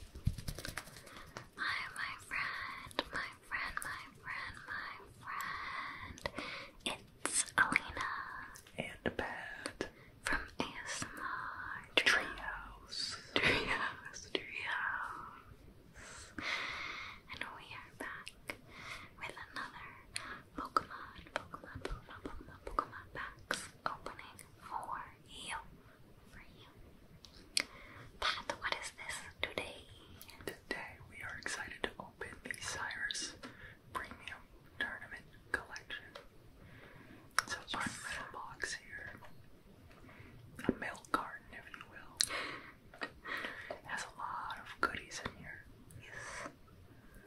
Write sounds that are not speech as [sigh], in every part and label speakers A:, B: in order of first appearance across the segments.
A: My my friend, my friend, my friend, my friend. It's Alina and Pat from ASMR Treehouse, Treehouse, Treehouse, and we are back with another Pokemon, Pokemon, Pokemon, Pokemon, Pokemon packs opening for you. Pat, what is this today? Today we are excited to open the Cyrus Premium Tournament Collection. So part yes. box here. A mail garden, if you will. has a lot of goodies in here. Yes.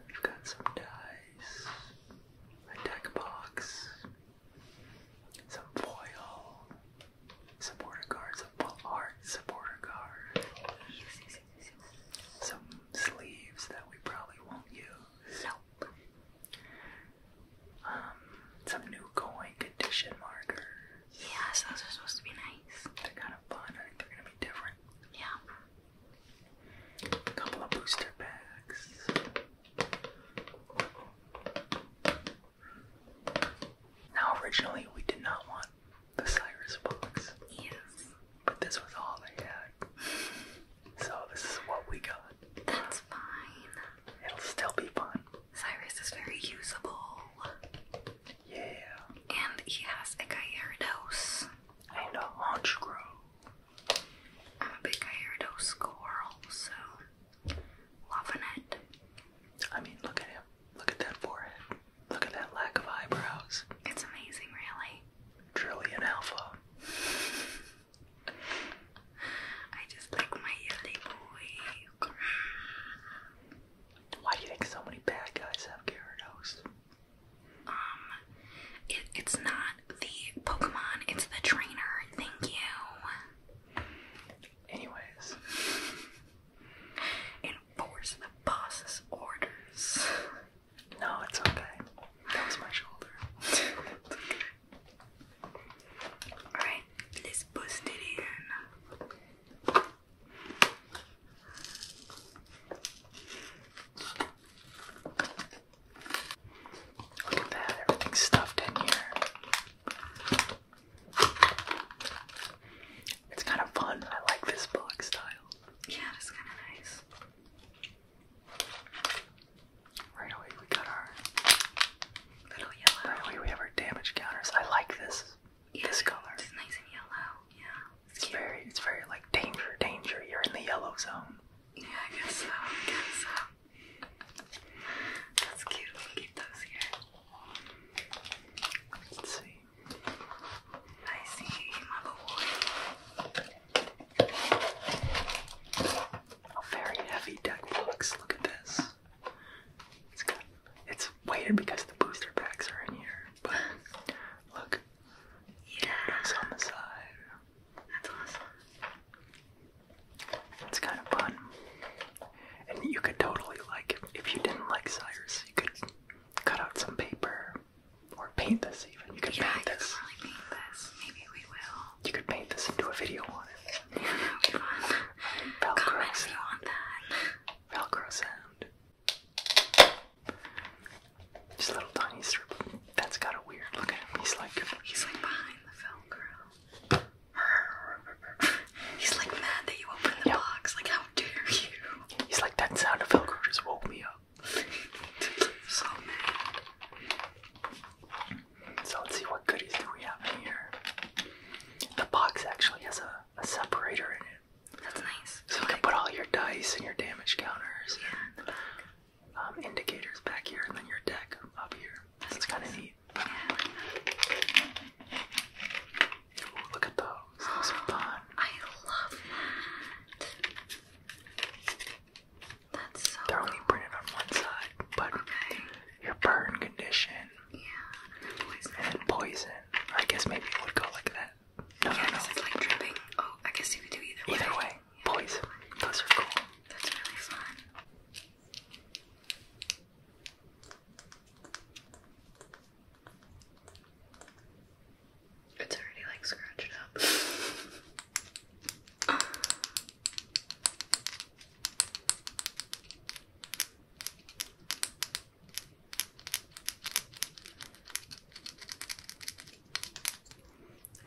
A: We've got some dice, a deck box, some foil supporter cards, some art supporter cards, some sleeves that we probably won't use. Nope. Um, some new coin condition marker. Yes, those are supposed to be nice. They're kind of fun. I think they're gonna be different. Yeah. A couple of booster packs. Now, originally, we did not want the Cyrus box. But this was all they had. so, this is what we got. That's fine. It'll still be fun. Cyrus is very usable. Yeah. And he has a Gyarados. And a Honchkrow. I'm a big Gyarados squirrel, so Loving it. I mean, look at him. Look at that forehead. Look at that lack of eyebrows. It's amazing, really. Trillion alpha. I just like my yelly boy. Why do you think so many bad guys have Gyarados? Um, it's not the Pokemon, it's the trainer. Thank you. Anyways, enforce the boss's orders. No, it's okay. That was my shoulder. [laughs] Alright, let's bust it in. Look at that, everything's stuffed in here. It's kind of fun. I like this box style. Yeah, it's kind of nice. Right away, we got our little yellow. Right away, we have our damage counters. I like this. this color. It's nice and yellow. Yeah. it's very, it's very like danger, danger. You're in the yellow zone. Yeah, I guess so. I guess so. That's cute. We'll keep those here. Let's see. I see my boy. A very heavy deck box. Look at this. it's weighted because the booster packs are in here. But look. Yeah. It's on the side. That's awesome. It's kind of fun. And you could totally, like, if you didn't like Cyrus, you could cut out some paper or paint this even. You could yeah, paint this. Really paint this. Maybe we will. You could paint this into a video on it. Yeah, Velcro Velcro sound. Just little tiny strip. That's got weird look at him. He's like, he's like behind the Velcro. He's like mad that you opened the box. Like, how dare you? He's like, that sound of Velcro just woke me up. so mad. So let's see what goodies do we have in here. The box actually has a, a separator in it. That's nice. So, you can put all your dice and your damage counters yeah. and um, indicators back here, and then your deck up here. That's, That's kind of neat sweet. look at those. Those are fun. I love that. That's so They're cool. only printed on one side, but your burn condition. Yeah, and poison. And poison. I guess maybe it would go like that. No, no, no. it's like dripping. Oh, I guess you could do either way. Either way, poison. Those are cool. That's really fun. It's already like scratched up. I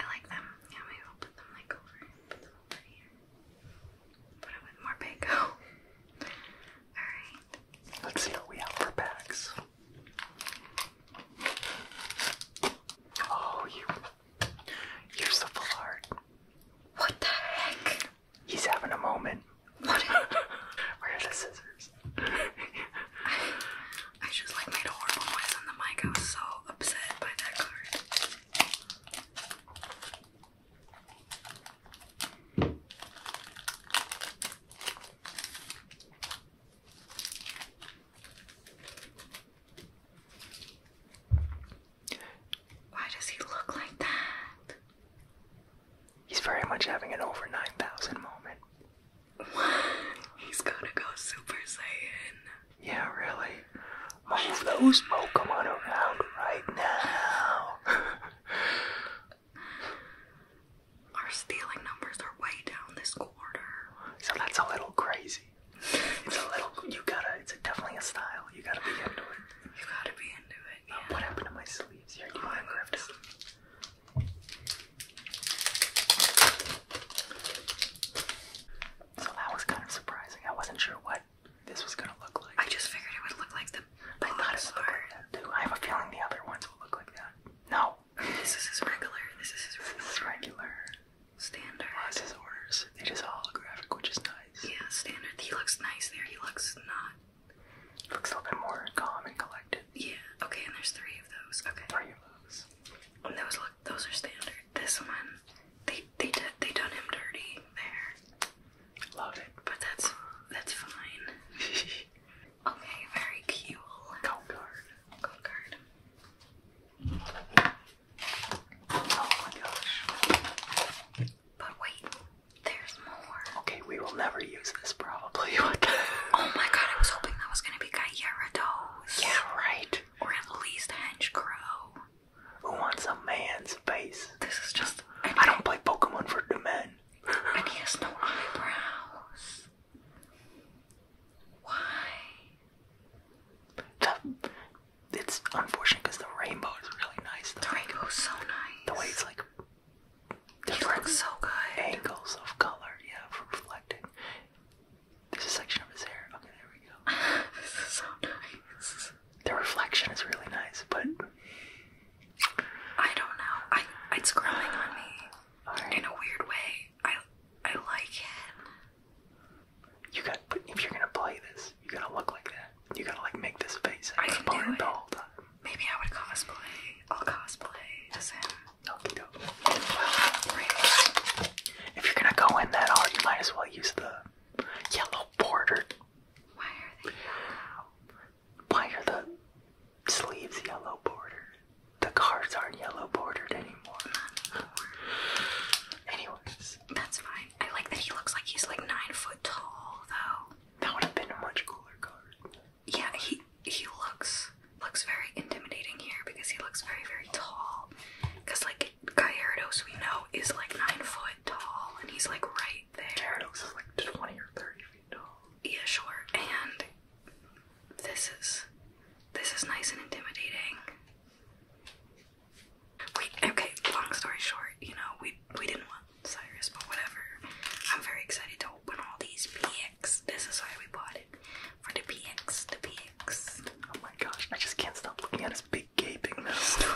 A: like them. Yeah, maybe will put them like over, put them over here. Put it with more [laughs] Alright. Let's see what we have for bags. Oh, you. You're so full What the heck? He's having a moment. [laughs] Where are the scissors? I just like made a horrible noise on the mic. I was so upset by that card. Why does he look like that? He's very much having an over 9,000 moment. What? [laughs] He's gonna go Super Saiyan. Yeah, really. Move those Pokemon around right now. [laughs] Our stealing numbers are way down this quarter. So that's a little crazy. It's a little. You gotta. It's definitely a style. You gotta be into it. You gotta be into it. Uh, what happened to my sleeves? Here, you oh, want to So that was kind of surprising. I wasn't sure what this was gonna look like. I just figured it would look like the I am not would look like I have a feeling the other ones will look like that. No. this is his regular. This is his regular. Standard. Well, this orders. They holographic, which is nice. Yeah, standard. He looks nice there. He looks not. looks a little bit more calm and collected. Yeah. Okay, and there's three of those. Okay. Three of those. And those look those are standard. This one, they they did they done him dirty there. Loaded, but that's that's fine. [laughs] okay, very cute. Gold card. Gold card. Oh my gosh. But wait, there's more. Okay, we will never use this probably. [laughs] Oh my god, I was hoping that was gonna be Gyarados. Yeah, right. Or at least Henchcrow. Who wants a man's face? This is just. I, don't play Pokemon for the men. and he has no eyebrows. Why? it's unfortunate because the rainbow is really nice. The rainbow is so nice. The way it's like He looks so good. angles of color, yeah, for reflecting. There's a section of his hair. Okay, there we go. [laughs] this is so nice the reflection is really nice, but I don't know. I it's growing on me in a weird way. I I like it. You got, but if you're gonna play this, you gotta look like that. You gotta like make this face. I do Maybe I would cosplay. I'll cosplay as him. Okie doke. if you're gonna go in that hard, you might as well use the yellow bordered. Why are they yellow? Why are the sleeves yellow bordered? The cards aren't yellow bordered anymore. Anyways. That's fine. I like that he looks like he's like nine foot tall though. That would have been a much cooler card. Yeah, he he looks looks very intimidating here because he looks very very tall. Cause like like we know is like nine foot tall and he's like right there. Gyarados is like twenty or thirty feet tall. Yeah, sure. And this is this is nice and intimidating. Wait, okay, long story short, you know, we we didn't want Cyrus, but whatever. I'm very excited to open all these PX. This is why we bought it. For the PX, the PX. Oh my gosh, I just can't stop looking at his big gaping now. Just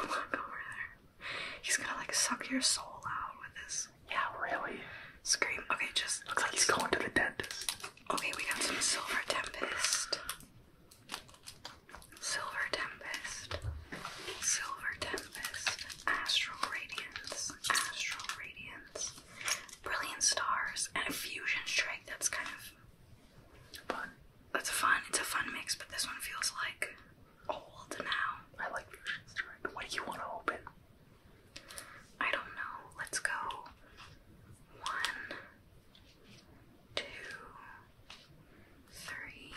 A: He's gonna like suck your soul out with this. Yeah, really? Scream. Okay, just looks like he's going to the dentist. Okay, we got some silver tempest. Silver tempest. Silver tempest. Astral radiance. Astral radiance. Brilliant stars and a fusion strike that's kind of that's a fun. It's a fun mix, but this one feels like old now. I like Fusion Strike. What do you want to open? I don't know. Let's go. One, two, three,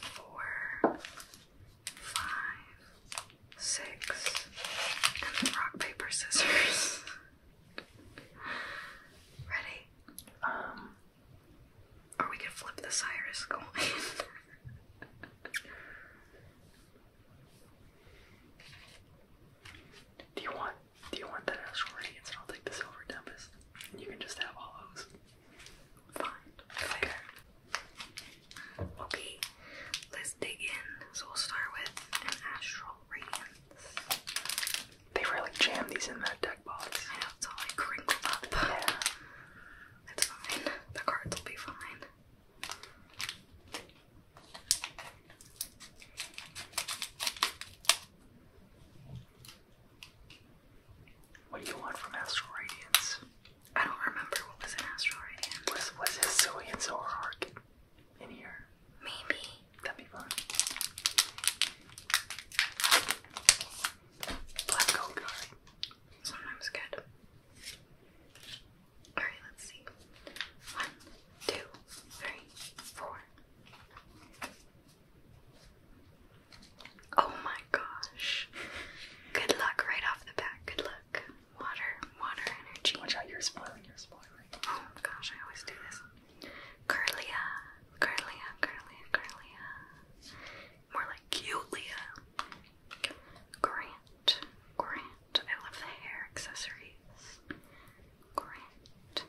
A: four, five, six, and rock paper scissors. [laughs] Ready? Um, or we could flip the Cyrus coin. [laughs] do you want do you want that as radiance and I'll take the silver tempest? You can just have all those. Fine. Okay. okay. Let's dig in. So we'll start with an astral radiance. They really jam these in that deck box. I know, it's all like crinkled up. Yeah. It's fine. The cards will be fine. What do you want from Astral Radiance? I don't remember what was in Astral Radiance. Was was Sicilian Solar Arc in here? Maybe. That'd be fun. Black gold Sometimes good. Alright, let's see. One, two, three, four. Oh my gosh. Good luck right off the bat. Good luck. Water, water energy. Watch out, you're spoiling, you're spoiling. Oh gosh, I always do this. Curlia, Curlia, Curlia, Curlia. More like Cutelia. Grant, Grant. I love the hair accessories. Grant.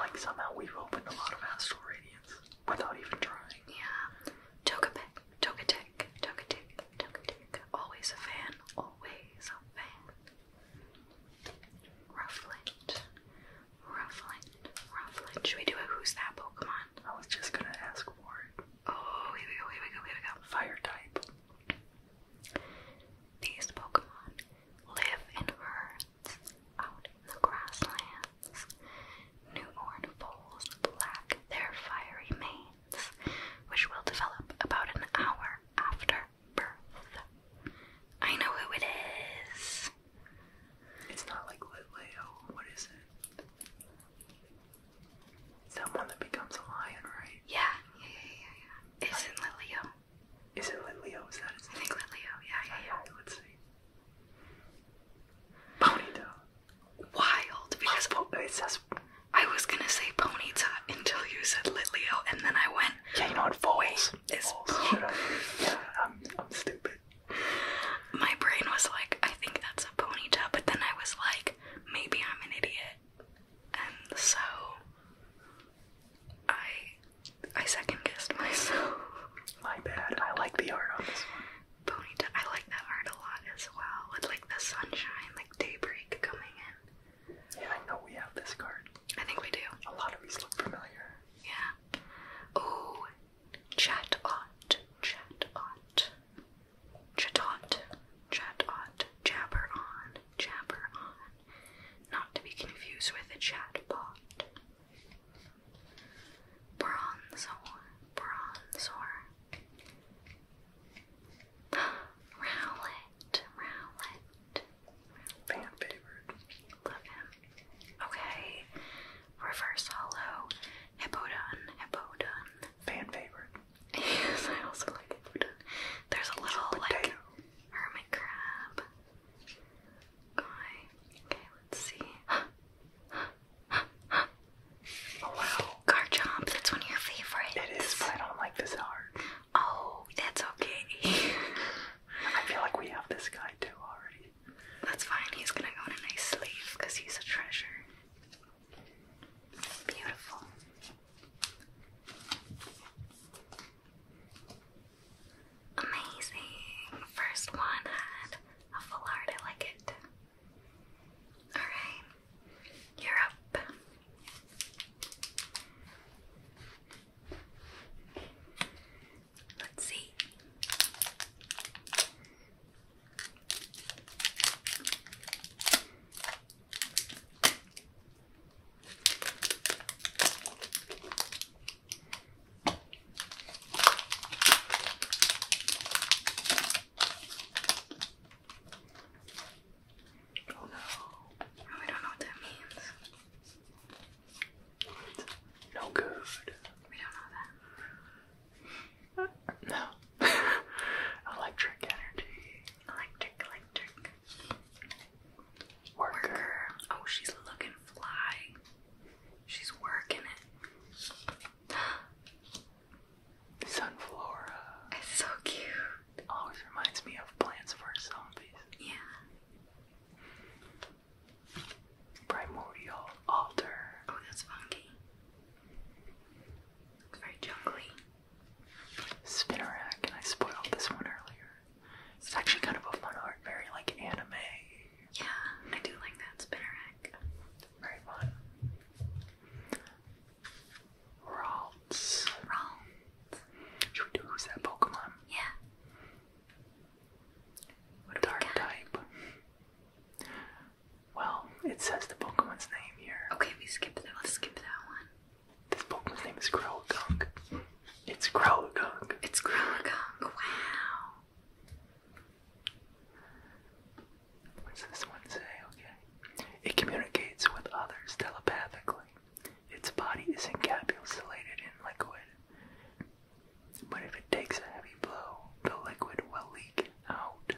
A: Like somehow we've opened a lot of astral radiance without even trying. Yeah. Togepic, Togetic, Togetic, Togetic. Always a fan, always a fan. Rufflet, Rufflet. Rufflet. Should we do a who's that Pokemon? I was just gonna ask for it. Oh, here we go, here we go, here we go. Fire type. These Pokemon live in herds out in the grasslands. Newborn foals lack their fiery manes, which will develop about an hour after birth. I know who it is. It's not like Litleo. What is it? It's that one that becomes a lion, right? Yeah, yeah, yeah, yeah, yeah. It's in Litleo. Is it Litleo? Is that his name? I think Litleo, yeah, yeah, yeah. Okay, let's see. Ponyta. Wild, because... Oh, it says... I was gonna say Ponyta until you said Litleo, and then I went yeah, you know what foals yeah, I'm, I'm stupid. My brain was like, I think that's a ponytail, but then I was like, maybe I'm an idiot, and so I I second guessed myself. My bad. I like the art on this one. Ponytail. I like that art a lot as well, with like the sunshine, like daybreak coming in. Yeah, I know we have this card. I think we do. A lot of these look familiar yeah. Oh, chat-ot, chat-ot, chat on, jabber on. Not to be confused with a chatbot. Bronzor, bronzor. [gasps] Rowlet, Rowlet, Fan favorite. Love him. Okay. Reverse hollow. Hippodon. Hippodon. Fan favorite. [laughs] yes, I also like Hippodon. There's a little like hermit crab. Guy. Okay, let's see. oh wow. Garchomp, that's one of your favorites. It is, I don't like this art. Oh, that's okay. [laughs] I feel like we have this guy too already. That's fine. He's gonna go in a nice sleeve because he's a treasure. Beautiful. Amazing. First one had a full I like it. Alright. You're up. Let's see. Oh no, I don't know what that means. No good. We don't know that. No. [laughs] electric energy. Electric, electric. Worker. Oh, she's looking fly. She's working it. [gasps] Sunflora. It's so cute. Always reminds me of Plants vs. Zombies. Yeah. Primordial altar. Oh, that's funky. It's very jungly. Spinnerack, and I spoiled this one earlier. It's actually kind of a fun art, very like anime. Yeah, I do like that spinnerack. Very fun. Ralts. Ralts. Should we do who's that Pokemon? Yeah dark type. Well, it says the Pokemon's name here. Okay, we skip that. one. This Pokemon's name is Growlithe. It's Growlithe. It's Growlithe. Wow. What's this one say? Okay. It communicates with others telepathically. Its body is encapsulated in liquid, but if it takes a heavy blow, the liquid will leak out.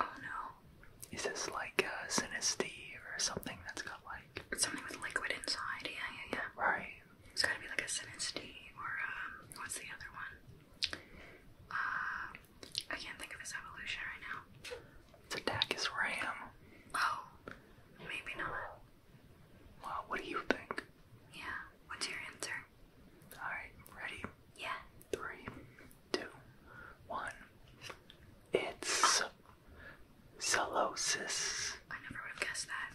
A: Oh no. Is this like a synesthete or something that's got like. Something with liquid inside, yeah, yeah, yeah. Right. It's gotta be like a synesthete or, um, what's the other one? Uh, I can't think of his evolution right now. Its attack is ram. Oh, maybe not. Well, what do you think? Yeah. What's your answer? Alright, ready? Yeah. Three, two, one. It's oh. I never would have guessed that.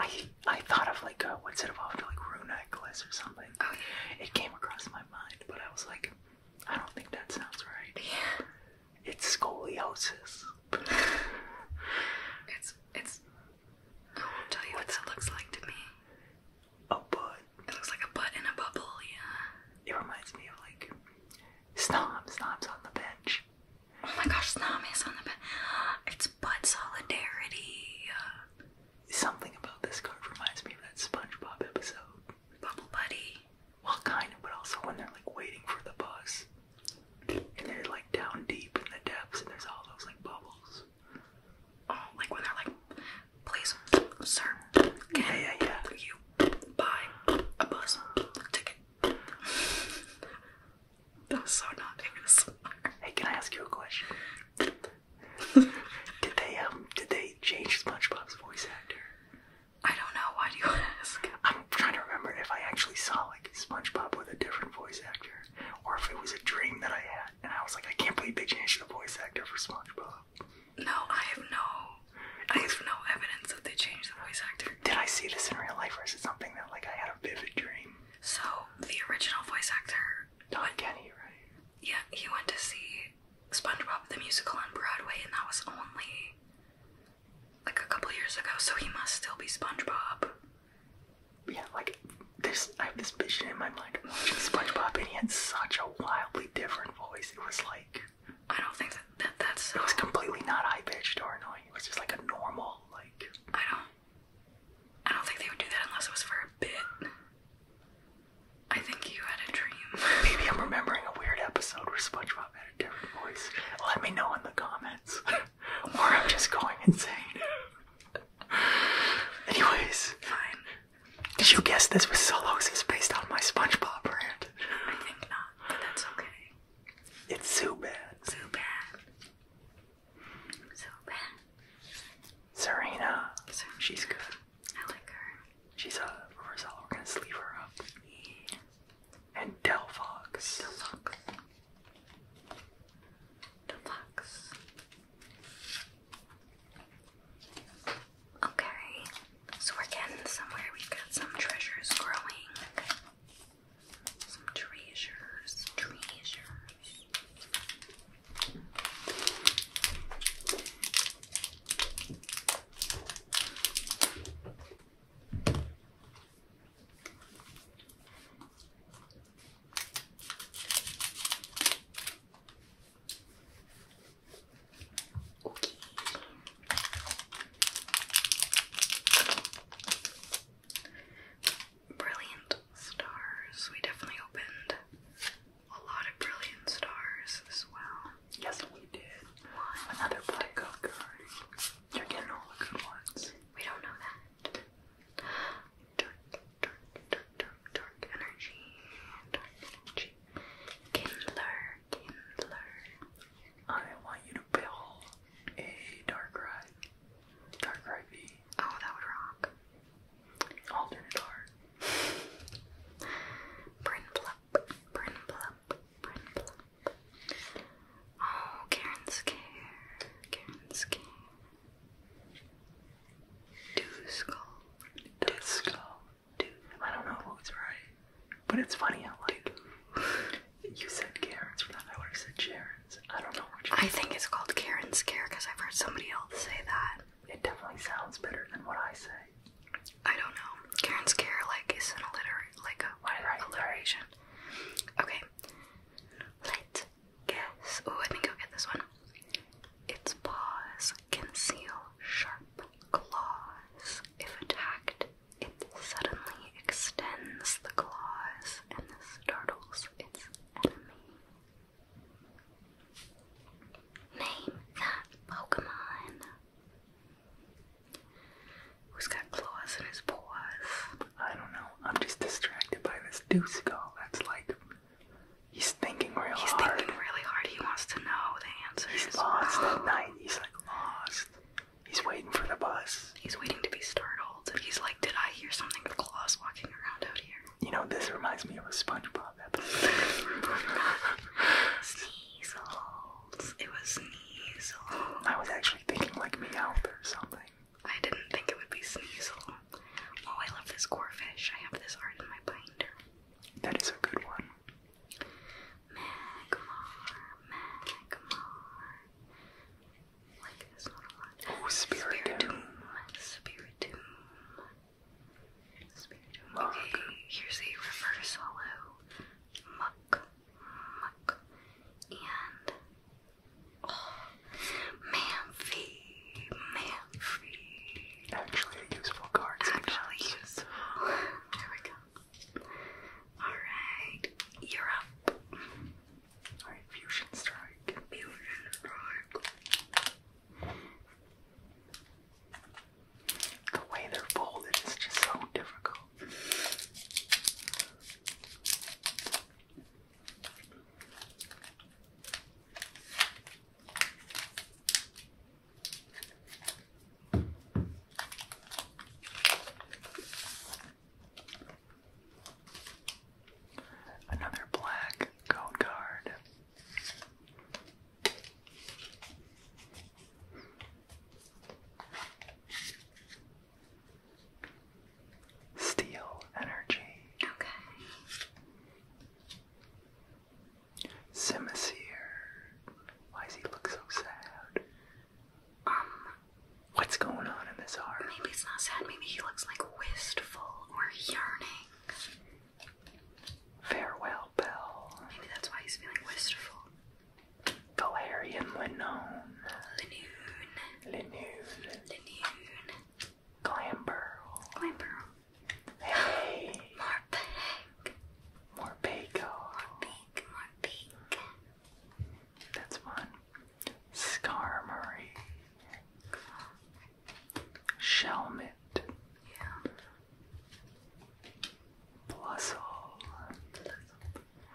A: I I thought of like a uh, what's it evolved to like rune necklace or something. Okay. Oh, it came across my mind, but I was like, I don't think that sounds right. Yeah. It's scoliosis. it's it's. I won't tell you what it looks like to me. A butt. It looks like a butt in a bubble. Yeah. It reminds me of like Snom. snobs on the bench. Oh my gosh, Snom is on the bench. It's butt solidarity. Something about this card reminds me of that SpongeBob episode. Bubble Buddy. Well, kind of, but also when they're like waiting for the bus and they're like down deep in the depths, and there's all those like bubbles. Oh, like when they're like, please, sir, yeah, yeah, yeah. you buy a bus ticket? that so not ASMR. Hey, can I ask you a question? [laughs] did they um, did they change SpongeBob's voice actor? I don't know. Why do you [laughs] ask? I'm trying to remember if I actually saw like SpongeBob with a different voice actor, or if it was a dream that I had, and I was like, I can't believe they changed the voice actor for SpongeBob. No, I have no, I have no evidence that they changed the voice actor. Did I see this in real life, or is it something that like I had a vivid dream? So the original voice actor, Don Kenny, right? Yeah, he went to see SpongeBob the musical on Broadway, and that was only like a couple years ago, so he must still be SpongeBob. Yeah, like this I have this vision in my mind of SpongeBob and he had such a wildly different voice. It was like I don't think that, that's It was completely not high pitched or annoying. It was just like a normal like I don't I don't think they would do that unless it was for a bit. I think you had a dream. Maybe I'm remembering a weird episode where SpongeBob had a different voice. Let me know in the comments or I'm just going insane. Anyways, fine. Did you guess this was solosis based on my SpongeBob rant? I think not, but that's okay. It's so bad. So bad. So bad. Serena. she's good. I like her. She's a reverse. We're gonna sleeve her up and Delphox. Delphox. Delphox. Okay, so we're getting somewhere. we got some treasures growing. Some treasures, treasures. Okay. Brilliant stars. We definitely opened a lot of brilliant stars as well. Yes, we did. Another black card. We don't know that. Dark, energy. Kindler, kindler. I want you to build a dark ride. Dark ride Oh, that would rock. Alternate art. Brin plup, brin plup, brin plup, Oh, Karen's care. Karen's care. Do skull. Do skull. Do. I don't know if it's right, but it's funny how like you said Karen's for that. I would have said Sharon's. I don't know which. I think it's called Karen's care because I've heard somebody else say that. It definitely sounds better than what I say. I don't know. Karen's care like is an alliter like a right, alliteration. Right. Okay, Okay, let's guess. Oh, I think I'll get this one. Its paws conceal sharp claws. If attacked, it suddenly extends the claws and startles its enemy. Name that Pokemon. Who's got claws in his paws? I don't know. I'm just distracted by this deuce skull. That's like he's thinking real hard. He's thinking really hard. He wants to know the answer. He's lost wow. at night. He's like lost. He's waiting for the bus. He's waiting to be startled. He's like, did I hear something claws walking around out here? You know, this reminds me of a SpongeBob episode. [laughs] Sneasels. It was Sneasel. I was actually thinking like Meowth or something. I didn't think it would be Sneasel. Oh, I love this core I have this art in my binder. That is a good one. Magmar, Magmar. Like this one a lot. Oh, Spiritomb. Spiritomb. Spiritomb. Okay, here's a reverse hollow. Muck, muck, and Oh, Manfi, Manfi. Actually a useful card. Sometimes. Actually useful. There we go. Alright, you're up. Alright, Fusion Strike. Fusion Strike. The way they're folded is just so difficult. Another black code card. Steel energy. Okay. Simisear. Why does he look so sad? Um. What's going on in this heart? Maybe he's not sad. Maybe he looks like wistful or yearning. Farewell, Bell. Maybe that's why he's feeling wistful. Valerian Linone. Linoon. Linoon. Linoon. Glamburl. Glamburl. Hey. Morpeg. Morpego. Morpeg. Morpeg. That's fun. Skarmory. Shelmet. Yeah. Blustle. Blustle.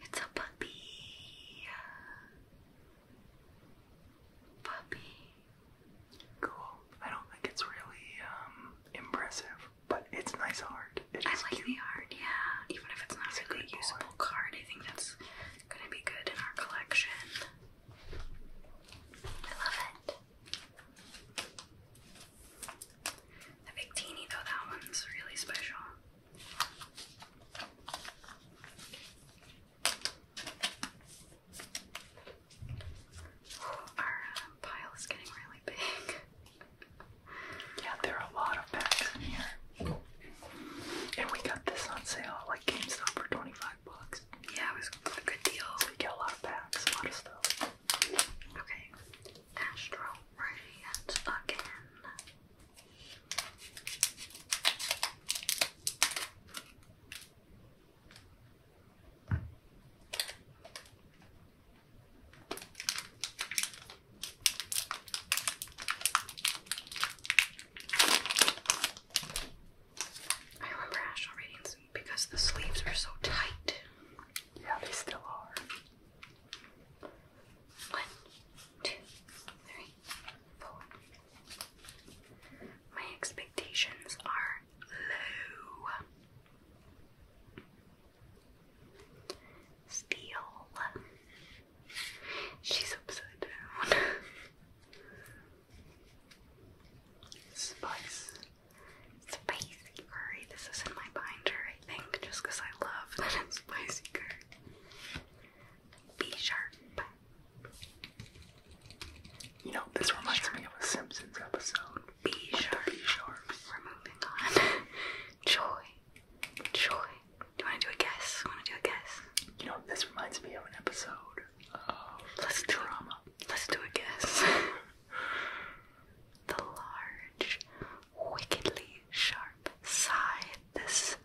A: It's a puppy. Puppy. Cool. I don't think it's really um, impressive, but it's nice art. I like the art, yeah. Even if it's not it's usable card, I think that's gonna be good in our collection. I love it. The big teeny though, that one's really special. Our um, pile is getting really big. yeah, there are a lot of packs in here. And we got this on sale, like GameStop for 25 bucks. Yeah, it was a good deal. we get a lot of packs, a lot of stuff. Okay. Astro Ray and again. I remember Astral Radiance because the sleeves are so tight. Yeah, they still are. One, two, three, four. My expectations are low. Steel. She's upside down. Spice. Spicy curry. This is in my binder, I think, just because I love [laughs] that spicy curry. B sharp. You know, this B reminds sharp. me of a Simpsons episode. B sharp. B sharps. We're moving on. [laughs] Joy. Joy. Do you want to do a guess? Want to do a guess? You know, this reminds me of an episode of Let's drama. Let's do a guess. [laughs] the large, wickedly sharp side. This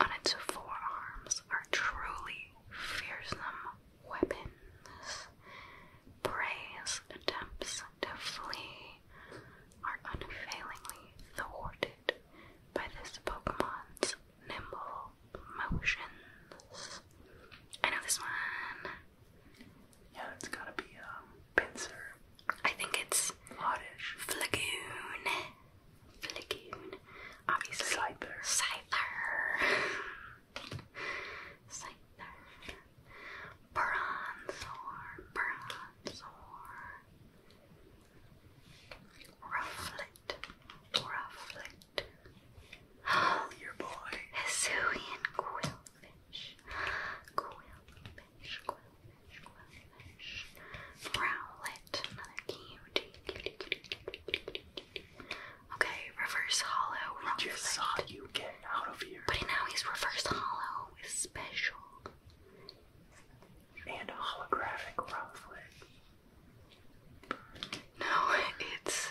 A: on its forearms are truly fearsome weapons. Prey's attempts to flee are unfailingly thwarted by this Pokemon's nimble motions. I know this one. Yeah, it's gotta be um pincer. I think it's oddish. Flagoon. Flickoon. Obviously. Cyber. Cyber. Cyber. Bronzor. Rufflet. Rufflet. Oh, your boy. Hisuian quillfish. Quillfish. Quillfish. Rowlet, another cutie. Okay, reverse hollow. We just saw you get out of here. But now he's reverse hollow is special. And holographic Rowlet. No, it's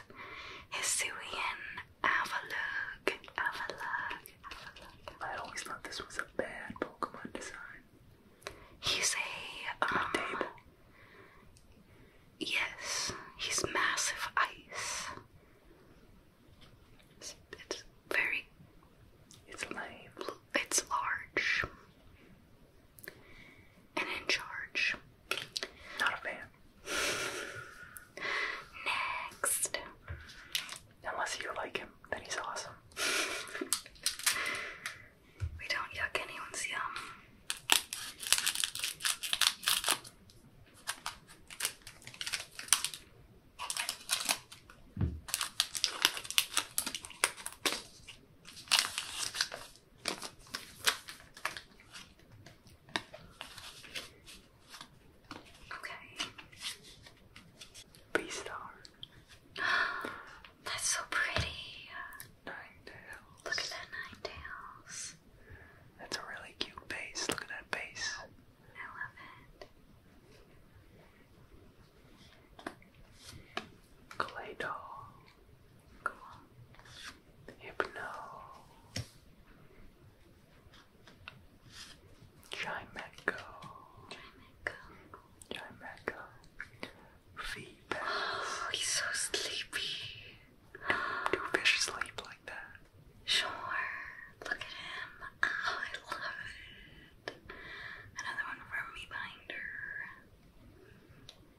A: Hisuian Avalug. Avalug. Avalug. I always thought this was a bad Pokemon design. He's a um, Yes, he's massive ice. It's, very. It's live. It's large. And in charge. Not a fan. Next, Unless you like him, then he's awesome. [laughs] we don't yuck anyone's yum. Okay. Beastar. [gasps] That's so pretty. Ninetales. Look at that Ninetales. That's a really cute base. Look at that base. I love it. Clay doll. Cool. Hypno. Chimeco. Chimeco. Oh, he's so sleepy. Do, fish sleep like that? Sure. Look at him. Oh, I love it. Another one from me binder.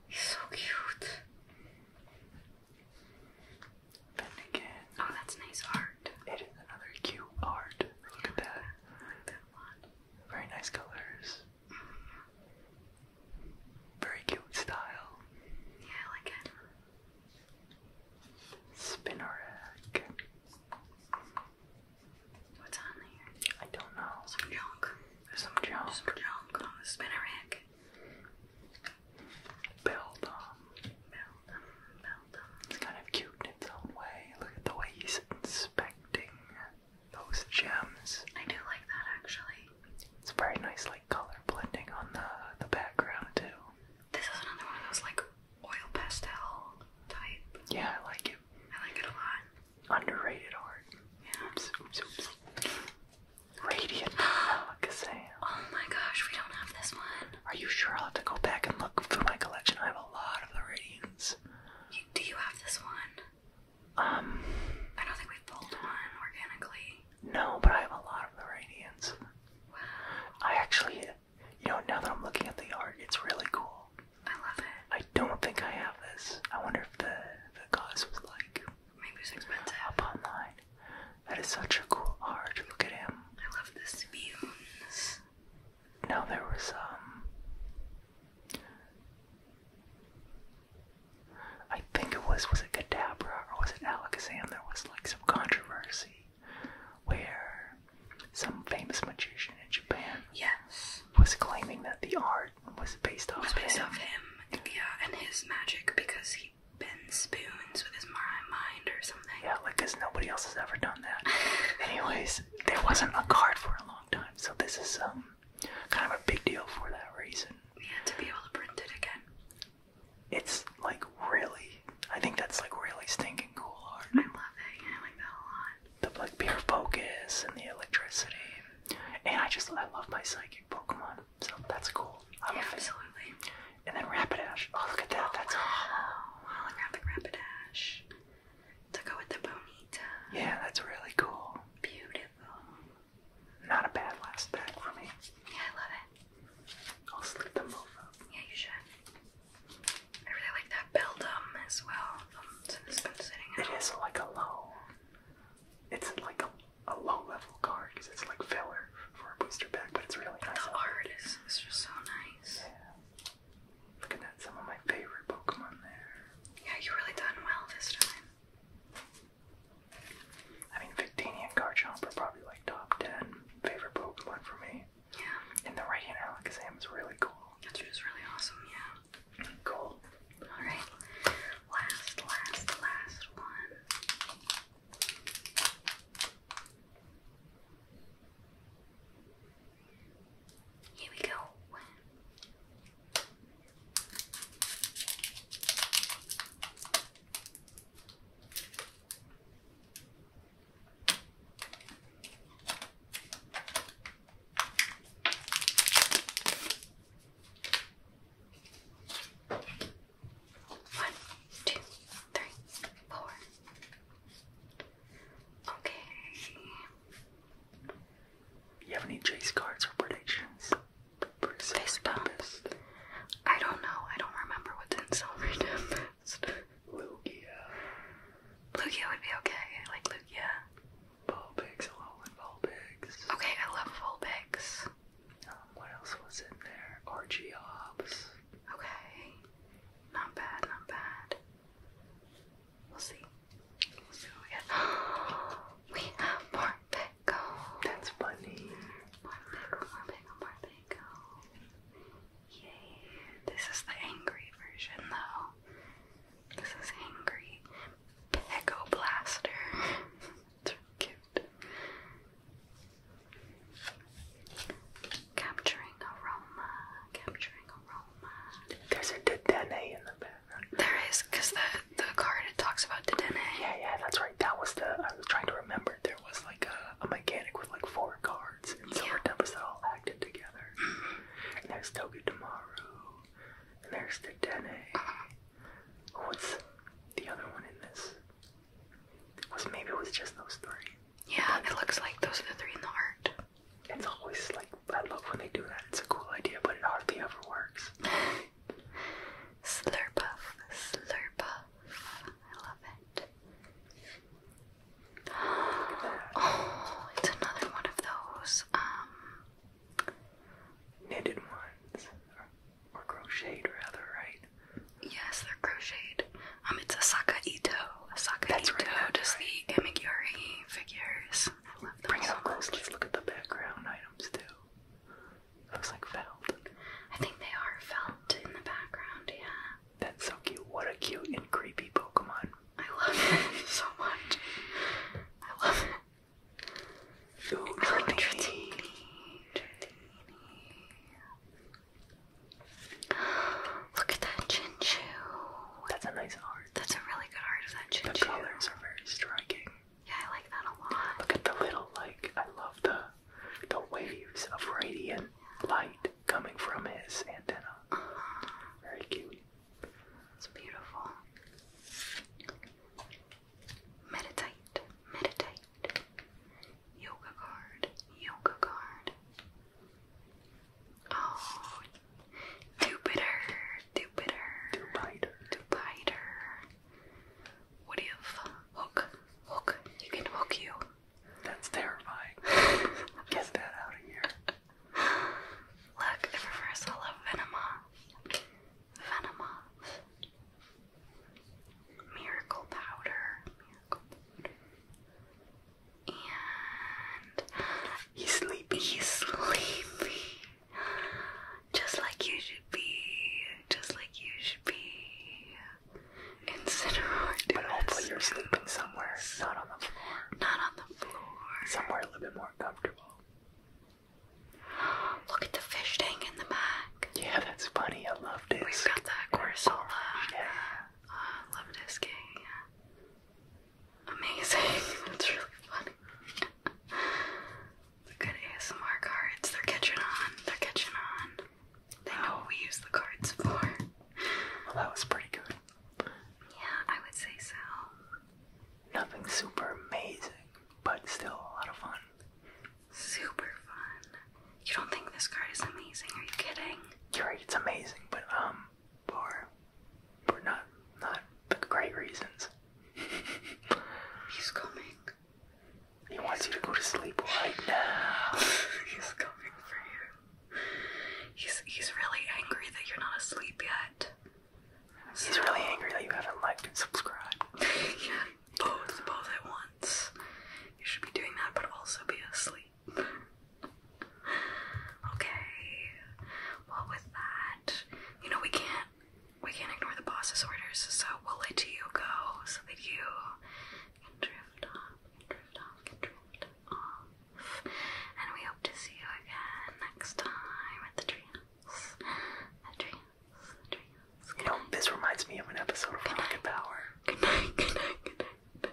A: He's so cute. Finnegan. Oh, that's nice art. It is another cute art. Look at that. like that one. Very nice colors. Very cute style. Yeah, I like it. Spinnerack. What's on there? I don't know. Some junk. some junk. Some junk on the spinnerack. Beldum. Beldum. Beldum. It's kind of cute in its own way. Look at the way he's inspecting those gems. I do like that actually. It's very nice, like color blending on the the background too. This is another one of those like oil pastel type. Yeah, I like it. I like it a lot. Underrated art. Yeah. Oops, oops, oops. Radiant Alakazam. [gasps] Oh my gosh, we don't have this one. Are you sure? I'll have to go back and look through my collection. I have a lot of the Radiants do you have this one? Um, I don't think we've one organically. No, but I have a lot of the radiance. Wow. I actually, you know, now that I'm looking at the art, it's really cool. I love it. I don't think I have this. I wonder if the the cost was like maybe it's expensive up online. That is such a cool art. Look at him. I love this view. Now there was um I think it was was it Kadabra or was it Alakazam? There was like some controversy where some famous magician in Japan yes. was claiming that the art was based off was based him. off him, yeah, and his magic because he bends spoons with his mind or something. Yeah, like because nobody else has ever done that. [laughs] Anyways, there wasn't a card for a long time, so this is um kind of a big deal for that reason. Yeah, to be able to print it again. It's like really, I think that's like really stinking cool art. I love it. I like that a lot. The like pure focus and the electricity, and I just I love my psychic Pokemon, so that's cool. absolutely. And then Rapidash. Oh, look at that. that's a oh, holographic Rapidash to go with the bonita. Yeah, that's really cool. Beautiful. Not a bad last pack for me. Yeah, I love it. I'll slip them over. Yeah, you should. I really like that Beldum as well. Um, so this been sitting It is like a low. It's like a, low level card because it's like filler for a booster pack, but it's really nice. The art is, just so nice. Looking at some of my favorite Pokemon there. Yeah, you really done well this time. I mean, Victini and Garchomp are probably like top 10 favorite Pokemon for me. Yeah. And the right hand Alakazam is really cool. That's just really awesome, yeah. Mm, cool. Alright. Last, last, last one. Here we go. One, two, three, four. Okay. You have any chase cards or predictions? Fist I don't know. I don't remember what's in Silver Tempest. [laughs] Lugia. Lugia would be okay. like Lugia. Vulpix. I love Vulpix. Okay, I love Vulpix. Um, what else was in there? Archeops. Okay. Not bad, not bad. We'll see. We'll [gasps] we have. more pickle. That's funny. More pickle, more pickle, more pickle. Yay. This is the angry version though. This is angry. Pickle blaster. it's [laughs] really cute. Capturing aroma, capturing there's a Dedenne in the back. There is, because the, the card it talks about Dedenne. Yeah, yeah, that's right. That was the. I was trying to remember. There was like a, mechanic with like four cards, and Silver yeah. Tempest that all acted together. Mm -hmm. And there's Togedemaru, and there's Dedenne. What's the other one in this? Was maybe it was just those three. Yeah, it looks like those are the three in the art. It's always like, I love when they do that. It's a cool idea, but it hardly ever works. Slurpuff, slurpuff. I love it. Oh, it's another one of those um knitted ones or, crocheted rather, right? Yes, they're crocheted. Um, it's a sakaito. Oh, Asaka That's Ito does the Amiguri figures. Bring it so close. let look at the background items too. Looks like felt. I think they are felt in the background, yeah. That's so cute. What a cute and creepy Pokemon. I love it [laughs] so much. I love it. [gasps] Look at that Chinchu. That's a nice art. That's a really good art of that chin The colors are very striking. Yeah, I like that a lot. Look at the little like I love the the waves of radiant light coming from his antenna. Uh-huh. Very cute. It's beautiful. Meditate, meditate. Yoga card, yoga card. Oh, Jupiter, Jupiter, Jupiter, Jupiter. What if hook, hook? You can hook you. That's terrifying. [laughs] Get that out of here. Look, the reversal of Venema. venomous. Venomous. Miracle powder. And he's sleepy. He's sleepy. Just like you should be. Just like you should be. Incinerate. But hopefully you're sleeping somewhere, not on the floor. Not on the floor. Somewhere a little bit more comfortable. Look at the fish tank in the back. Yeah, that's funny. I loved it. we got that Corsola. Yeah. Oh, I loved this game amazing. [laughs] That's really funny. the good ASMR cards. They're catching on. They're catching on. They know what we use the cards for. Well, that was pretty good. Yeah, I would say so. Nothing super amazing, but still a lot of fun. Super fun. You don't think this card is amazing? Are you kidding? You're right, it's amazing, but um, for for not not the great reasons. He's coming. He wants you to go to sleep right now. [laughs] he's coming for you. He's he's really angry that you're not asleep yet. He's really angry that you haven't liked and subscribed. [laughs] yeah, both both at once. You should be doing that, but also be asleep okay. Well, with that, you know we can't we can't ignore the boss's orders, so we'll let you go so that you can drift off, drift off, drift off. And we hope to see you again next time at the treehouse. The treehouse, the treehouse. You know, this reminds me of an episode of Rocket Power. Good night, good night, good night.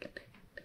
A: Good night.